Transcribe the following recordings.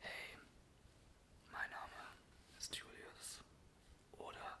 Hey, mein Name ist Julius oder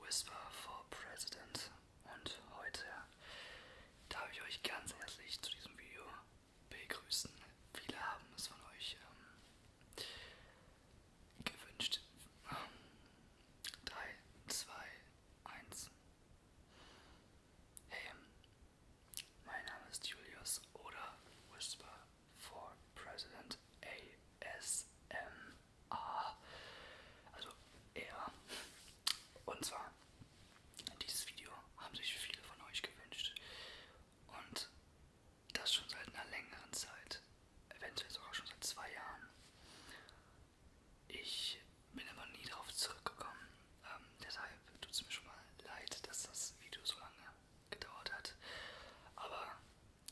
Whisper for President und heute darf ich euch ganz herzlich zu diesem Video begrüßen. Viele haben es von euch ähm, gewünscht. 3, 2, 1. Hey, ähm, mein Name ist Julius oder Whisper for President ASMR. Also er. Und zwar, dieses Video haben sich viele von euch gewünscht. Und das schon seit einer längeren Zeit. Eventuell sogar schon seit zwei Jahren. Ich bin aber nie darauf zurückgekommen. Ähm, deshalb tut es mir schon mal leid, dass das Video so lange gedauert hat. Aber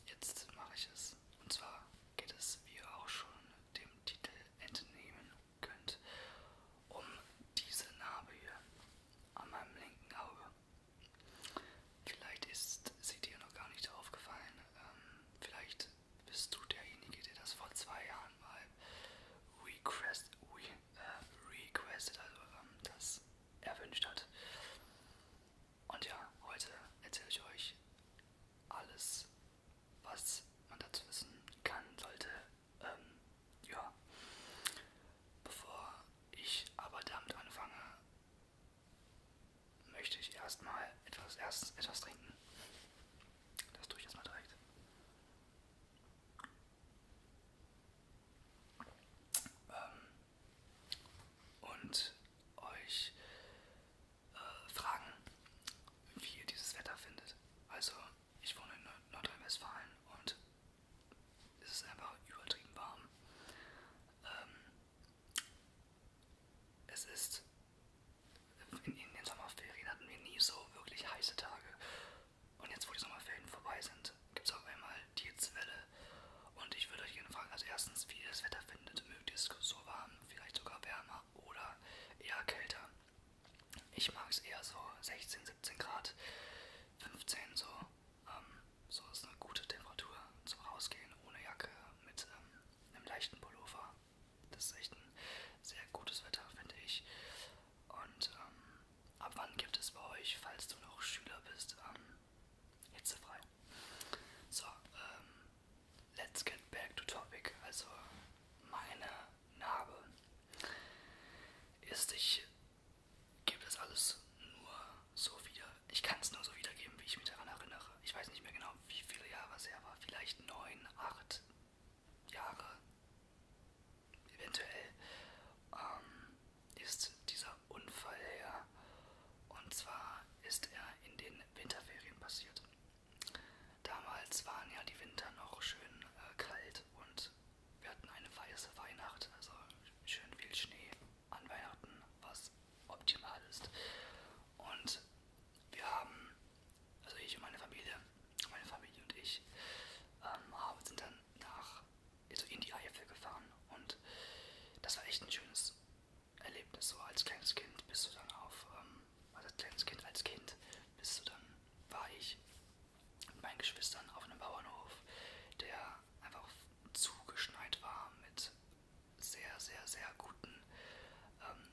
jetzt mache ich es. Und zwar geht es, wie ihr auch schon dem Titel entnehmen könnt, um diese Narbe hier an meinem linken Auge. Vielleicht ist sie dir noch gar nicht aufgefallen. Ähm, vielleicht bist du derjenige, der das vor zwei Jahren mal request, re, äh, requested, also ähm, das erwünscht hat. Und ja, heute erzähle ich euch alles, was man dazu wissen kann, sollte. Ähm, ja, bevor ich aber damit anfange, möchte ich erstmal etwas, erst etwas trinken. Das tue ich erstmal direkt. Ähm, und euch äh, fragen, wie ihr dieses Wetter findet. Also, ich wohne in Nordrhein-Westfalen und es ist einfach übertrieben warm. Ähm, es ist in, in den Sommerferien hatten wir nie so wirklich heiße Tage. Und jetzt, wo die Sommerferien vorbei sind, gibt es auf einmal die Hitzewelle. Und ich würde euch gerne fragen, also erstens, wie ihr das Wetter findet. Mögt ihr es so warm, vielleicht sogar wärmer oder eher kälter? Ich mag es eher so 16, 17 Grad, 15 so. Ähm, so ist eine gute Temperatur zum Rausgehen ohne Jacke mit ähm, einem leichten Pullover. Das ist echt ein sehr gutes Wetter, finde ich. Und ähm, ab wann gibt es bei euch, falls du noch Schüler bist, ähm, hitzefrei? So, ähm, let's get back to topic. Also, meine Narbe. Ist, ich gebe das alles nur so wieder. Ich kann es nur so wiedergeben, wie ich mich daran erinnere. Ich weiß nicht mehr genau, ja, wie viele Jahre es her war, vielleicht neun, acht Jahre eventuell, ähm, ist dieser Unfall her. Und zwar ist er in den Winterferien passiert. Damals waren ja die Winter noch schön äh, kalt und wir hatten eine weiße Weihnacht, also schön viel Schnee an Weihnachten, was optimal ist. Und wir haben also ich und meine Familie, meine Familie und ich, ähm, haben, sind dann nach, also in die Eifel gefahren und das war echt ein schönes Erlebnis. So als kleines Kind bist du dann auf, ähm, also als kleines Kind, als Kind bist du dann, war ich mit meinen Geschwistern auf einem Bauernhof, der einfach zugeschneit war mit sehr, sehr, sehr guten ähm,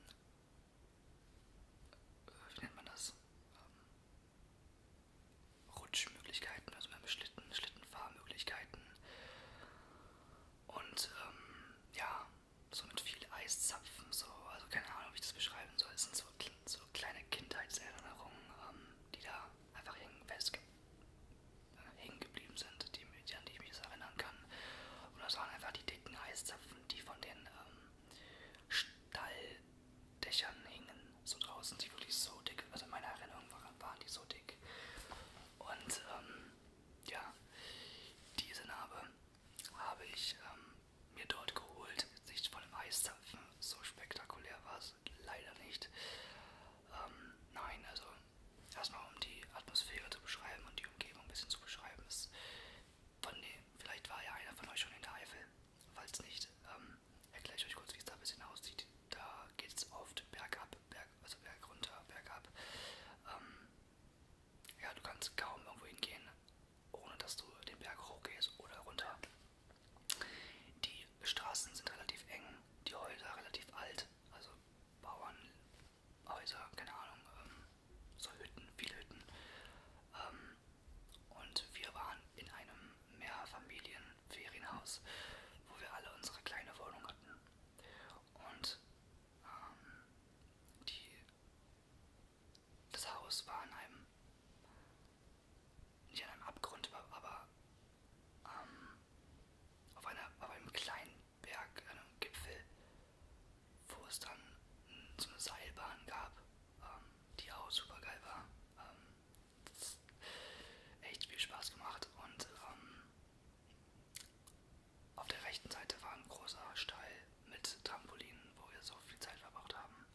wie nennt man das? Ähm, Rutschmöglichkeiten, also wir haben Schlitten, Schlittenfahrmöglichkeiten und ähm, ja, so mit viel Eiszapfen, so, also keine Ahnung, wie ich das beschreiben soll. Es sind so, so kleine Kindheitserinnerungen, ähm, die da einfach hängen, fest, äh, hängen geblieben sind, die die, an die ich mich jetzt erinnern kann. Und das waren einfach die dicken Eiszapfen, die von den ähm, Stalldächern hingen, so draußen, die wirklich so dick, also in meiner Erinnerung waren die so dick. Und ähm, ja, diese Narbe habe ich ähm, mir dort geholt, jetzt nicht von dem Eiszapfen, so spektakulär war es leider nicht. Ähm, nein, also erstmal um die Atmosphäre zu beschreiben und die Umgebung ein bisschen zu beschreiben. Ist von dem, vielleicht war ja einer von euch schon in der Eifel. Falls nicht, ähm, erkläre ich euch kurz, wie es da ein bisschen aussieht. Da geht es oft bergab, berg, also berg runter, bergab. Ähm, ja, du kannst kaum irgendwo hingehen, ohne dass du den Berg hochgehst oder runter. Die Straßen sind relativ eng, die Häuser relativ alt, also Bauern Häuser, keine Ahnung, ähm, so Hütten, viele Hütten. Ähm, und wir waren in einem Mehrfamilien-Ferienhaus, wo wir alle unsere kleine Wohnung hatten. Und ähm, die, das Haus war an einem, nicht an einem Abgrund, aber ähm, auf, einer, auf einem kleinen Berg, einem Gipfel, wo es dann so eine Seilbahn gab, ähm, die auch super geil war. Ähm, das echt viel Spaß gemacht und ähm, auf der rechten Seite war ein großer Stall mit Trampolinen, wo wir so viel Zeit verbracht haben.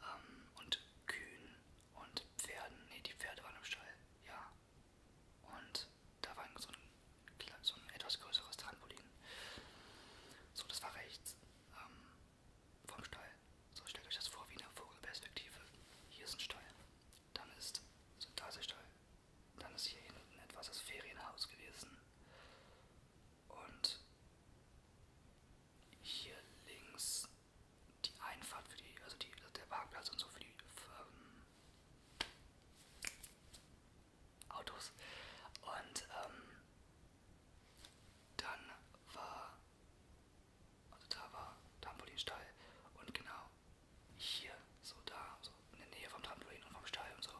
Ähm, und Kühen und Pferden. Ne, die Pferde waren im Stall. Ja. Und da war so ein, so ein etwas größeres Trampolin. So, das war rechts ähm, vom Stall. So, stellt euch das vor wie eine Vogelperspektive. Hier ist ein Stall. Dann ist, so, da ist der Stall. Dann ist hier hinten etwas das Ferienhaus gewesen. Und hier links die Einfahrt für die, also die, also der Parkplatz und so für die für, ähm, Autos. Und ähm, dann war, also da war Trampolinstall und genau hier, so da, so in der Nähe vom Trampolin und vom Stall und so,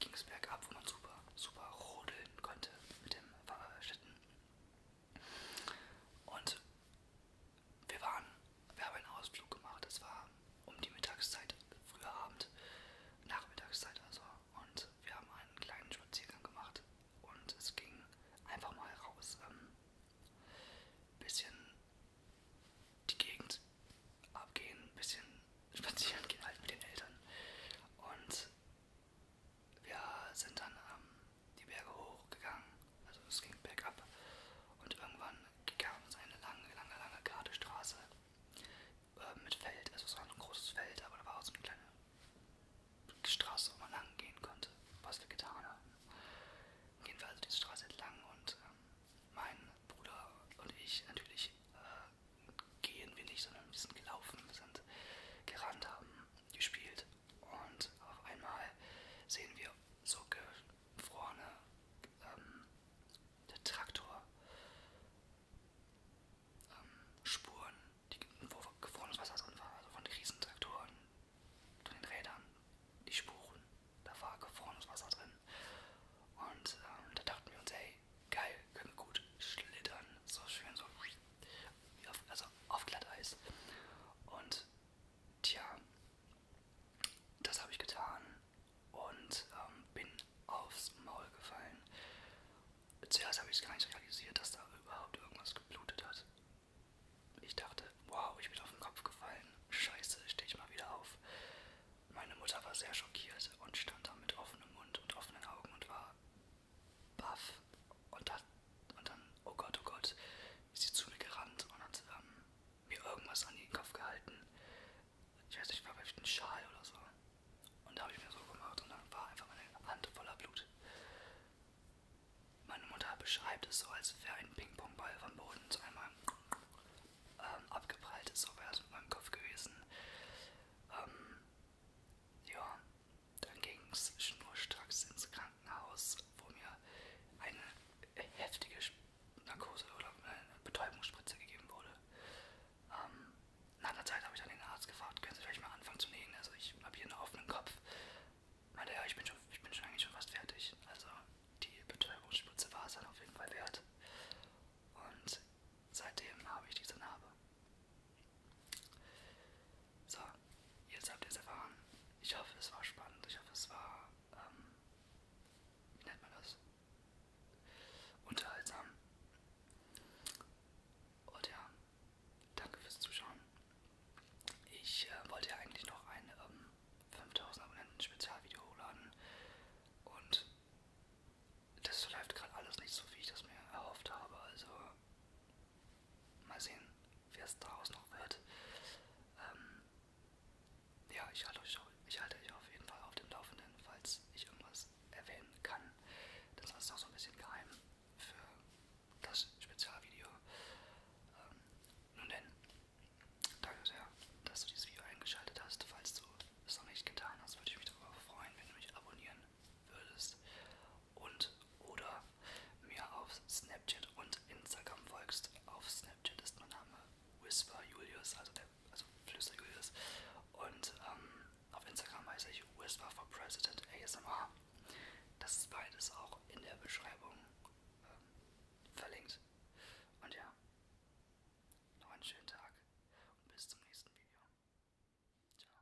ging es bergab, wo man super, super rodeln konnte mit dem Fahrradschitten. Und wir waren, wir haben einen Ausflug gemacht, es war um die Mittagszeit, früher Abend, Nachmittagszeit also. Und wir haben einen kleinen Spaziergang gemacht und es ging einfach mal raus. Ähm, bisschen die Gegend abgehen, ein bisschen spazieren gehen halt mit den Eltern. Und wir sind dann ähm, die Berge hochgegangen, also es ging bergab und irgendwann gab es eine lange, lange, lange gerade Straße äh, mit Feld, also es war ein großes Feld, aber da war auch so eine kleine Straße, wo man lang gehen konnte, was wir getan haben. Gehen wir also diese Straße entlang und ähm, mein Bruder und ich natürlich äh, gehen wir nicht, sondern wir sind gelaufen, wir sind gerannt haben, gespielt und auf einmal sehen wir so gefrorene ähm, Traktor. Ähm, Spuren, die, wo gefrorenes Wasser drin war, also von den Riesentraktoren, von den Rädern, die Spuren, da war gefrorenes Wasser drin. Und ähm, da dachten wir uns, hey, geil, können wir gut schlittern, so schön, so auf, also auf Glatteis. Und tja, das habe ich getan und ähm, bin aufs Maul gefallen. Zuerst habe ich es gar nicht realisiert, dass da überhaupt irgendwas geblutet hat. Ich dachte, wow, ich bin auf den Kopf gefallen. Scheiße, stehe ich mal wieder auf. Meine Mutter war sehr schockiert und stand da mit offenem Mund und offenen Augen und war baff und dann, und dann, oh Gott, oh Gott, ist sie zu mir gerannt und hat ähm, mir irgendwas an den Kopf gehalten. Ich weiß nicht, war vielleicht ein Schal oder so. Und da habe ich mir so gemacht und dann war einfach meine Hand voller Blut. Meine Mutter beschreibt es so, als wäre ein Ping-Pong-Ball vom Boden zu einmal ähm, abgeprallt ist, so wäre das mit meinem Kopf gewesen. Ähm, ja, dann ging es schnurstracks ins Krankenhaus, wo mir eine heftige Narkose oder eine äh, Betäubungsspritze gegeben wurde. Ähm, nach einer Zeit habe ich dann den Arzt gefragt, können Sie vielleicht mal anfangen zu nähen? Also ich habe hier einen offenen Kopf. Meinte, ja, ich bin, schon, ich bin schon eigentlich schon fast fertig. Also die Betäubungsspritze war es dann auf jeden Fall wert. Und seitdem habe ich diese Narbe. So, jetzt habt ihr es erfahren. Ich hoffe, es war spannend. Ich hoffe, es war, ähm, wie nennt man das? Unterhaltsam. Und ja, danke fürs Zuschauen. Ich äh, wollte ja eigentlich noch ein ähm, 5000 Abonnenten Spezialvideo hochladen. Und das läuft gerade alles nicht so, wie ich das mir erhofft habe. Also Mal sehen, wer es daraus noch wird. Ähm, ja, ich halte, euch, ich halte euch auf jeden Fall auf dem Laufenden, falls ich irgendwas erwähnen kann. Das war es noch so ein bisschen geheim für das Spezialvideo. Ähm, nun denn, danke sehr, dass du dieses Video eingeschaltet hast. Falls du es noch nicht getan hast, würde ich mich darüber freuen, wenn du mich abonnieren würdest und oder mir auf Snapchat und Instagram folgst. Auf Snapchat ist mein Name Whisper Julius, also der also Flüster Julius. Und ähm, auf Instagram heiße ich Whisper for President ASMR. Das ist beides auch in der Beschreibung ähm, verlinkt. Und ja, noch einen schönen Tag und bis zum nächsten Video. Ciao.